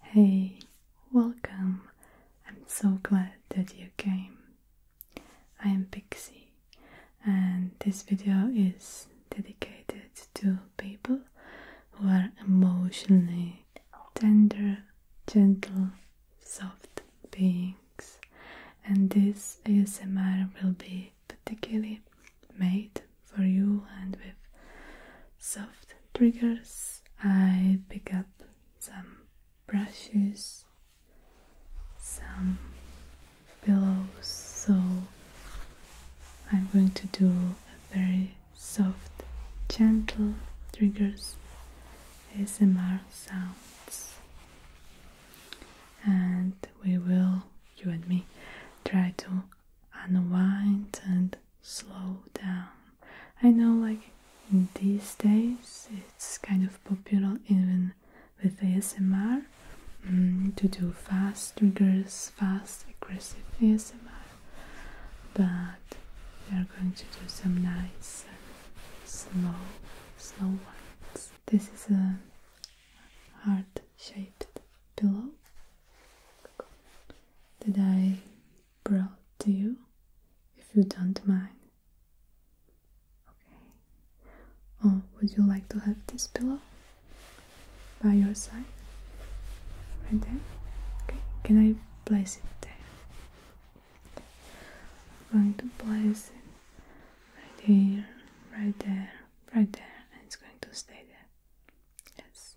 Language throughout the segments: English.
Hey, welcome. I'm so glad that you came. I am Pixie, and this video is dedicated to people who are emotionally tender, gentle, soft beings, and this ASMR will be particularly made for you and with soft triggers, I pick up some brushes, some pillows, so I'm going to do a very soft, gentle triggers ASMR sounds. And we will, you and me, try to unwind and slow down. I know, like in these days, it's kind of popular even with ASMR mm, to do fast triggers, fast aggressive ASMR, but we are going to do some nice slow, slow ones. This is a heart shaped pillow that I brought to you, if you don't mind. Okay. Oh, would you like to have this pillow by your side? Right there? Okay, can I place it there? I'm going to place it right here, right there, right there, and it's going to stay there. Yes.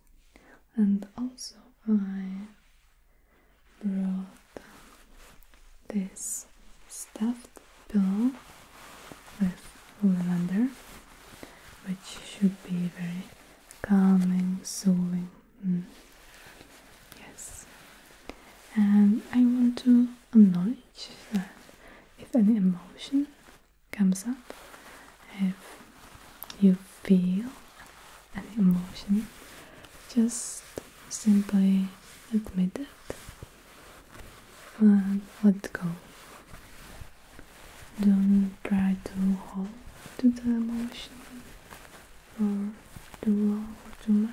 And also I brought this stuffed pillow with lavender which should be very calming, soothing. Mm. Yes. And I want to acknowledge that if any emotion comes up, if you feel an emotion, just simply admit it and let go. Don't try to hold to the emotion or too long or too much.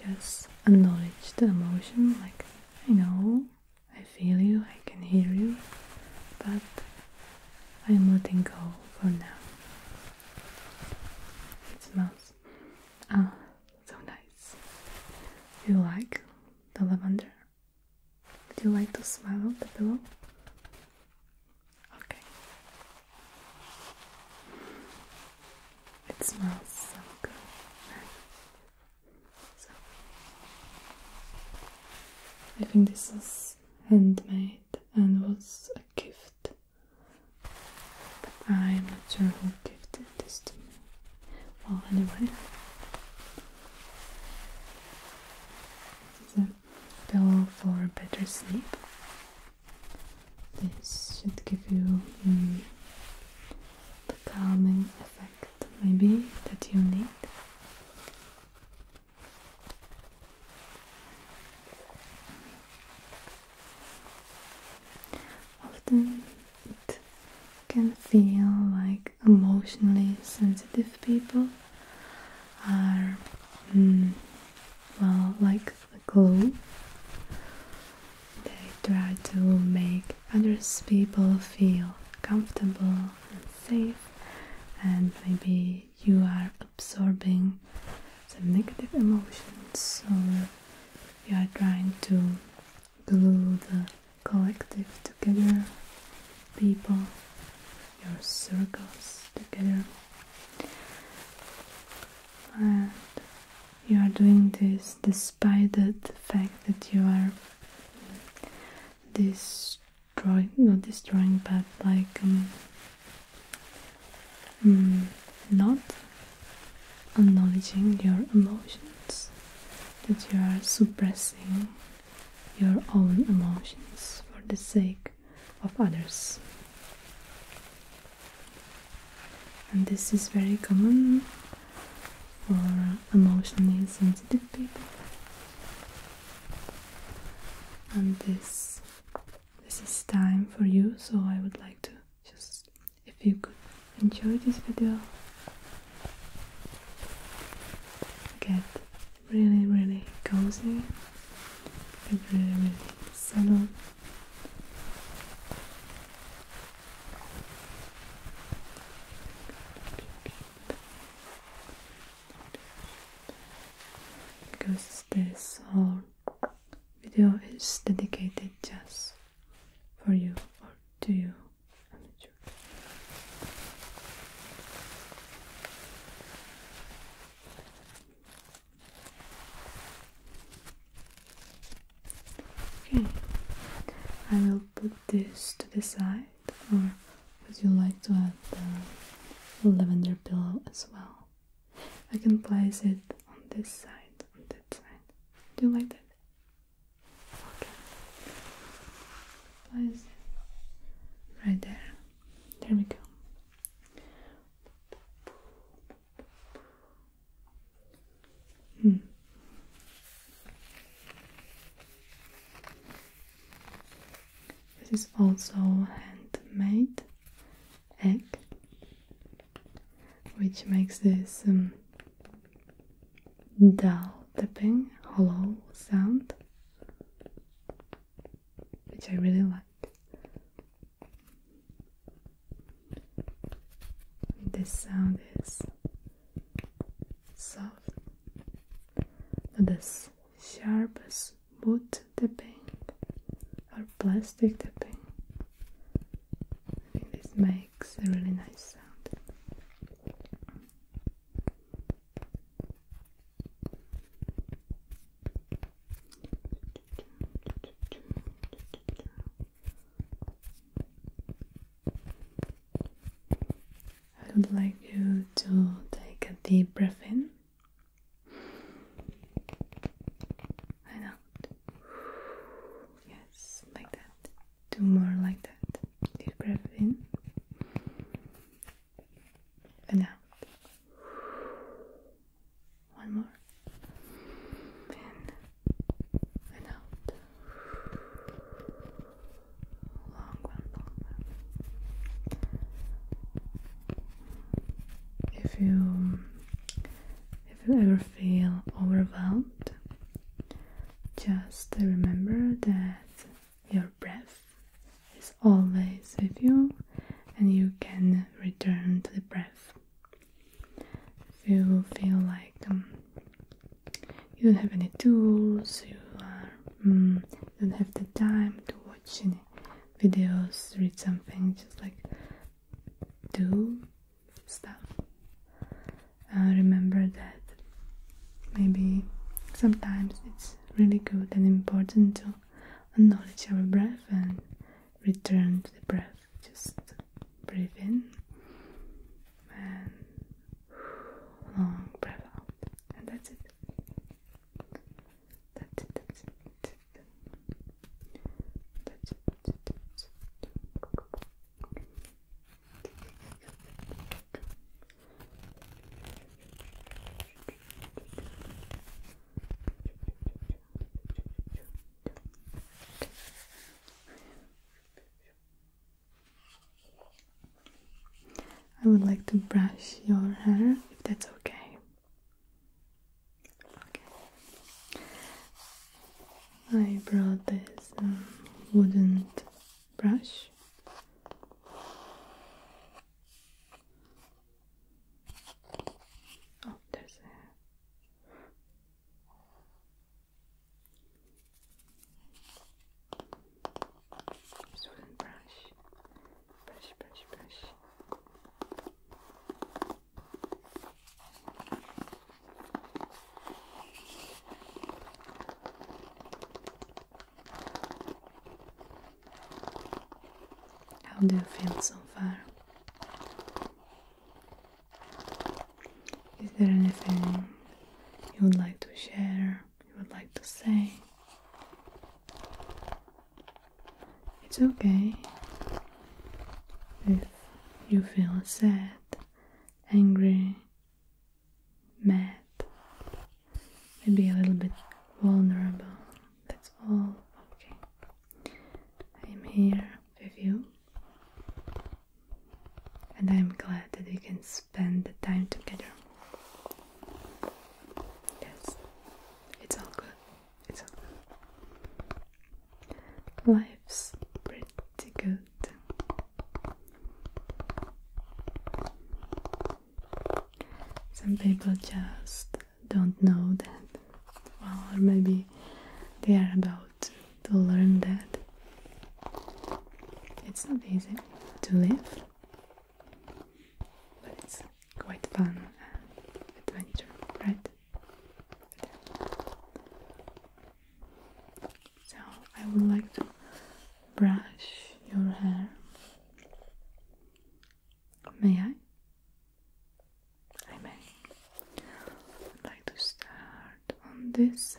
Just acknowledge the emotion, like I know I feel you, I can hear you, but I'm letting go for now. It smells ah, so nice. Do you like the lavender? Do you like to smell of the pillow? Okay. It smells so good. I think this is handmade and was a gift. But I'm not sure who gifted this to me. Well, anyway. This is a pillow for better sleep. This should give you mm, the calming effect, maybe, that you need. Often it can feel like emotionally sensitive people are, mm, well, like a glue. They try to make others people feel comfortable safe and maybe you are absorbing some negative emotions so you are trying to glue the collective together people your circles together and you are doing this despite the fact that you are this drawing, not destroying, but like um, mm, not acknowledging your emotions, that you are suppressing your own emotions for the sake of others. And this is very common for emotionally sensitive people and this this is time for you so I would like to just if you could enjoy this video get really really cozy get really really settled because this whole video is dedicated just for you or to you. Okay, I will put this to the side or would you like to add the lavender pillow as well? I can place it on this side, on that side. Do you like that? Okay. Place it right there. There we go. Hmm. This is also handmade egg, which makes this um, dull tapping, hollow sound, which I really like. This sound is so, this sharpes boot tapping or plastic tapping. I think this makes a really nice sound. I would like you to take a deep breath in and Yes, like that. Two more like that. Deep breath in and One more. In if you if you ever feel overwhelmed, just remember that your breath is always with you and you can return to the breath. If you feel like um, you don't have any tools, mm, you don't have the time to watch any videos, read something, just like do stuff. Uh, remember that maybe sometimes it's really good and important to acknowledge our breath and return to the breath. Just breathe in and long breath out, and that's it. That's it. That's it. That's it. That's it. That's it. Good. I would like to brush your hair if that's okay. I brought this um, wooden brush. Oh, there's a Swim brush, brush, brush, brush. How do you feel so far? Is there anything you would like to share, you would like to say. It's okay if you feel sad, angry, mad, maybe a little bit vulnerable. That's all okay. I'm here with you and I'm glad that we can spend the time together. Yes, it's all good. It's all good. Life's pretty good. Some people just don't know that, well, or maybe they are about to learn that it's not easy to live, but it's quite fun and adventure, right? So I would like to brush your hair. May I? I may. I'd like to start on this side.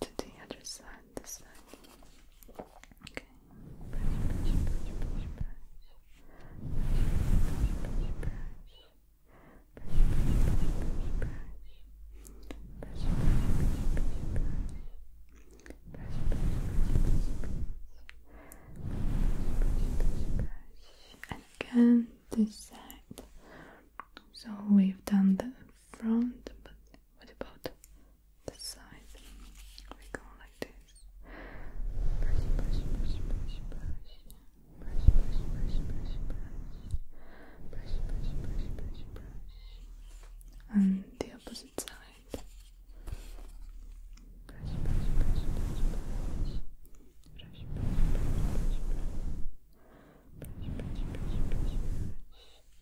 to the other side, this side. Okay. Brush, brush, brush, brush, brush. Brush, brush, brush, brush. Brush, brush, brush, brush, brush. Brush, brush, brush, brush, brush. Brush, brush, brush, brush, brush, brush. And again, this side. So we've done the front, but what about the side? We go like this. And the opposite side.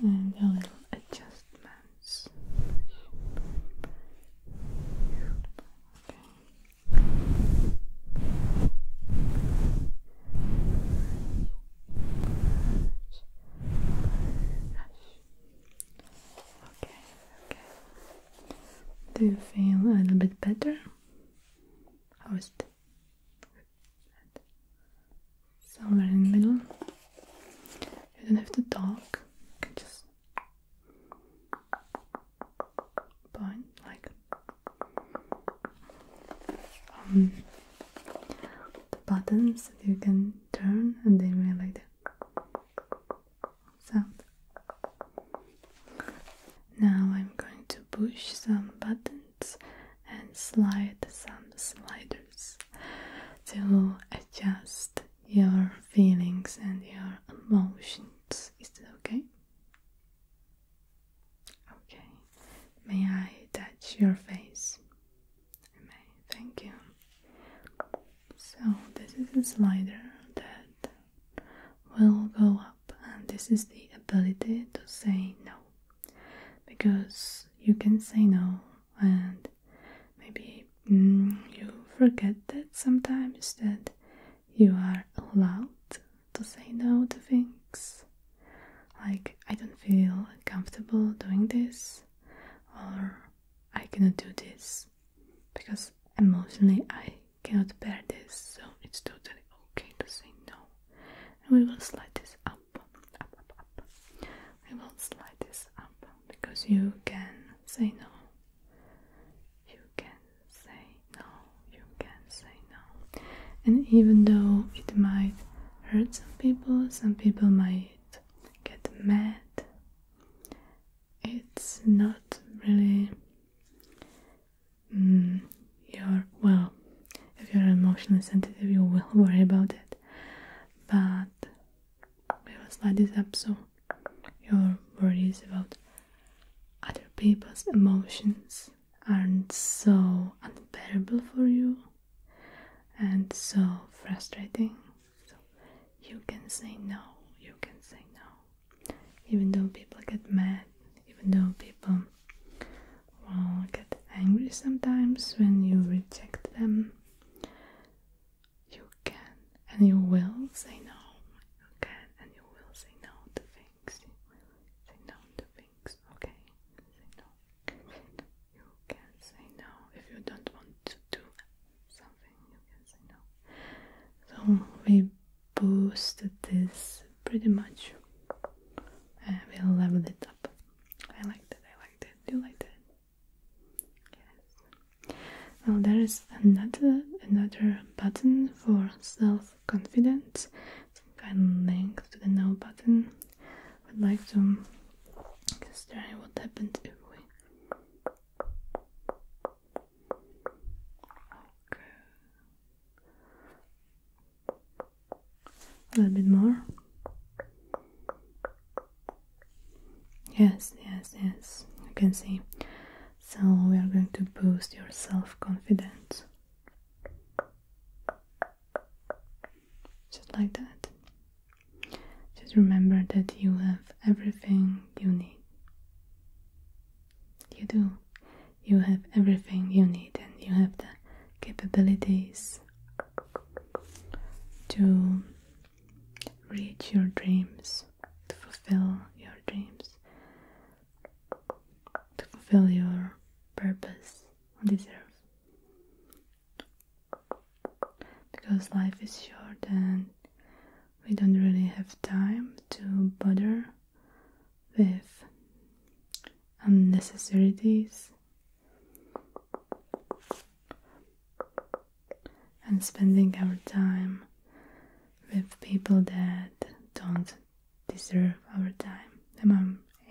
and a little adjustments. Okay. Okay, Do you feel a little bit better? host and somewhere in the middle. You don't have to talk, you can just point like um, the buttons that you can turn and they will like that. So Now I'm going to push some buttons and slide some sliders to adjust your feelings and your emotions. Is that okay? Okay. May I touch your face? May. Thank you. So this is a slider that will go up, and this is the ability to say no because you can say no, and maybe mm, you forget that sometimes that you are allowed to say no to things like I don't feel comfortable doing this, or I cannot do this because emotionally I cannot bear this, so it's totally okay to say no. And we will slide this up, up, up, up. We will slide this up because you can say no. You can say no. You can say no. And even though it might hurt some people, some people might get mad it's not really mm, your well. If you're emotionally sensitive, you will worry about it. But we will slide this up so your worries about other people's emotions aren't so unbearable for you and so frustrating. So you can say no, you can say no even though people get mad, even though people get angry sometimes when you reject them, you can and you will say no. You can and you will say no to things. say no to things, okay? Say no. You can say no if you don't want to do something you can say no. So we boosted this pretty much. And uh, we leveled it up. I liked it, I liked it. Do you like that? Yes. Now there is another another button for self-confidence. Some kind of link to the no button. I would like to just try what happens if we a little bit more. Yes, yes, yes. You can see. So we are going to boost your self-confidence. Just like that. Just remember that you have everything you need. You do. You have everything you need and you have the capabilities to reach your dreams, to fulfill your dreams, to fulfill your purpose on this earth. Because life is short and we don't really have time to bother with unnecessarities and spending our time with people that don't deserve our time. Am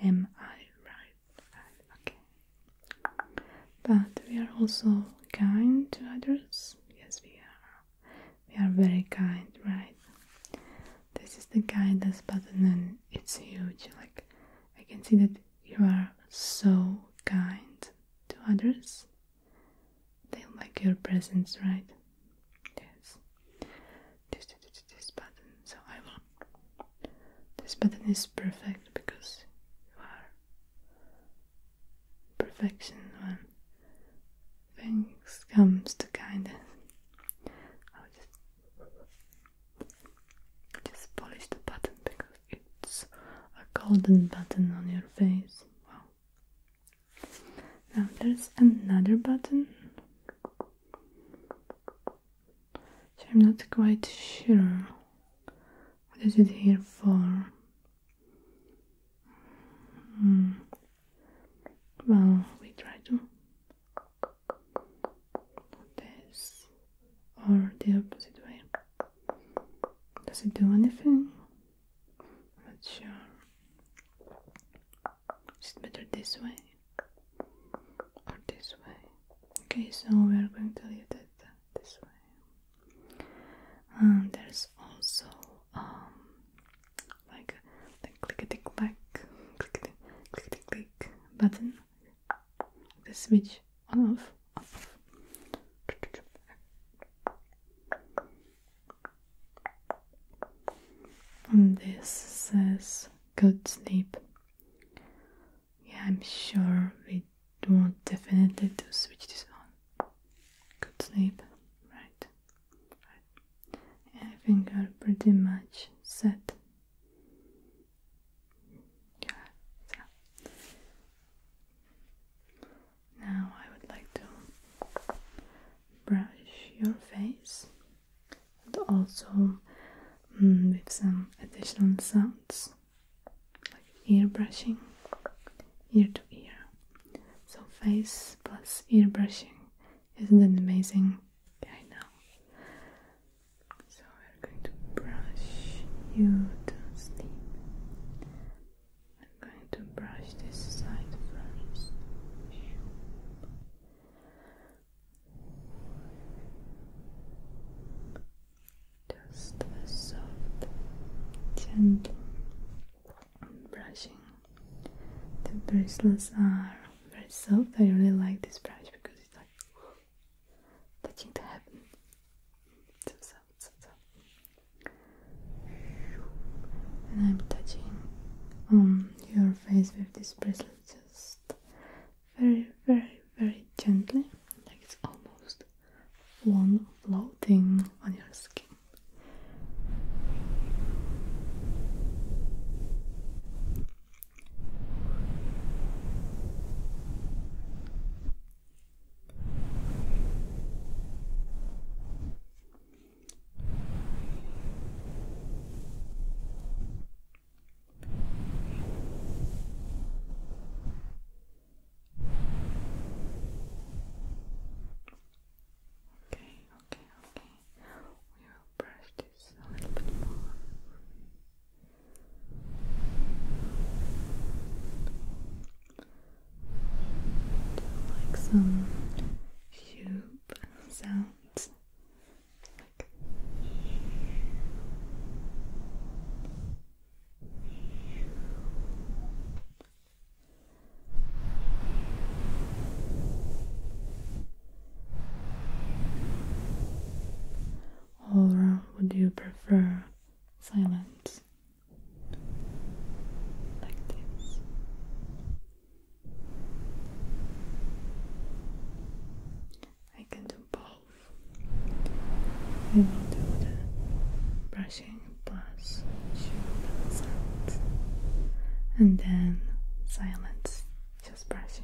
I, am I right? Okay. But we are also kind to others. Yes, we are. We are very kind, right? This is the kindness button, and it's huge. Like, I can see that you are so kind to others, they like your presence, right? Yes, this, button. So, I will. This button is perfect because you are perfection when things comes to kindness. I'll just polish the button because it's a golden button on your face. Wow. Now there's another button. I'm not quite sure what is it here for. Hmm. Well, we try to this or the opposite way. Does it do anything? Not sure. Is it better this way or this way? Okay, so we are going to leave that um, there's also um like the clickety clack, button. The switch on off, on off. this says good sleep. Yeah, I'm sure we do want definitely to switch this on. Good sleep, right? Right. I think I'm pretty much set. Yeah. So. Now I would like to brush your face, and also mm, with some additional sounds like ear brushing, ear to ear. So face plus ear brushing, isn't it amazing? I know. So we're going to brush you to sleep. I'm going to brush this side first just a soft, gentle brushing. The bracelets are very soft. I really like this brush because it's like touching the heaven. So soft, so soft. And I'm touching um your face with this bracelet just very, very, very gently. Like it's almost one floating on your skin. Okay, okay, okay. We will brush this a little bit more. Like some tube sounds. Or would you prefer silence? I can do both we will do the brushing plus shoe sounds and then silence, just brushing.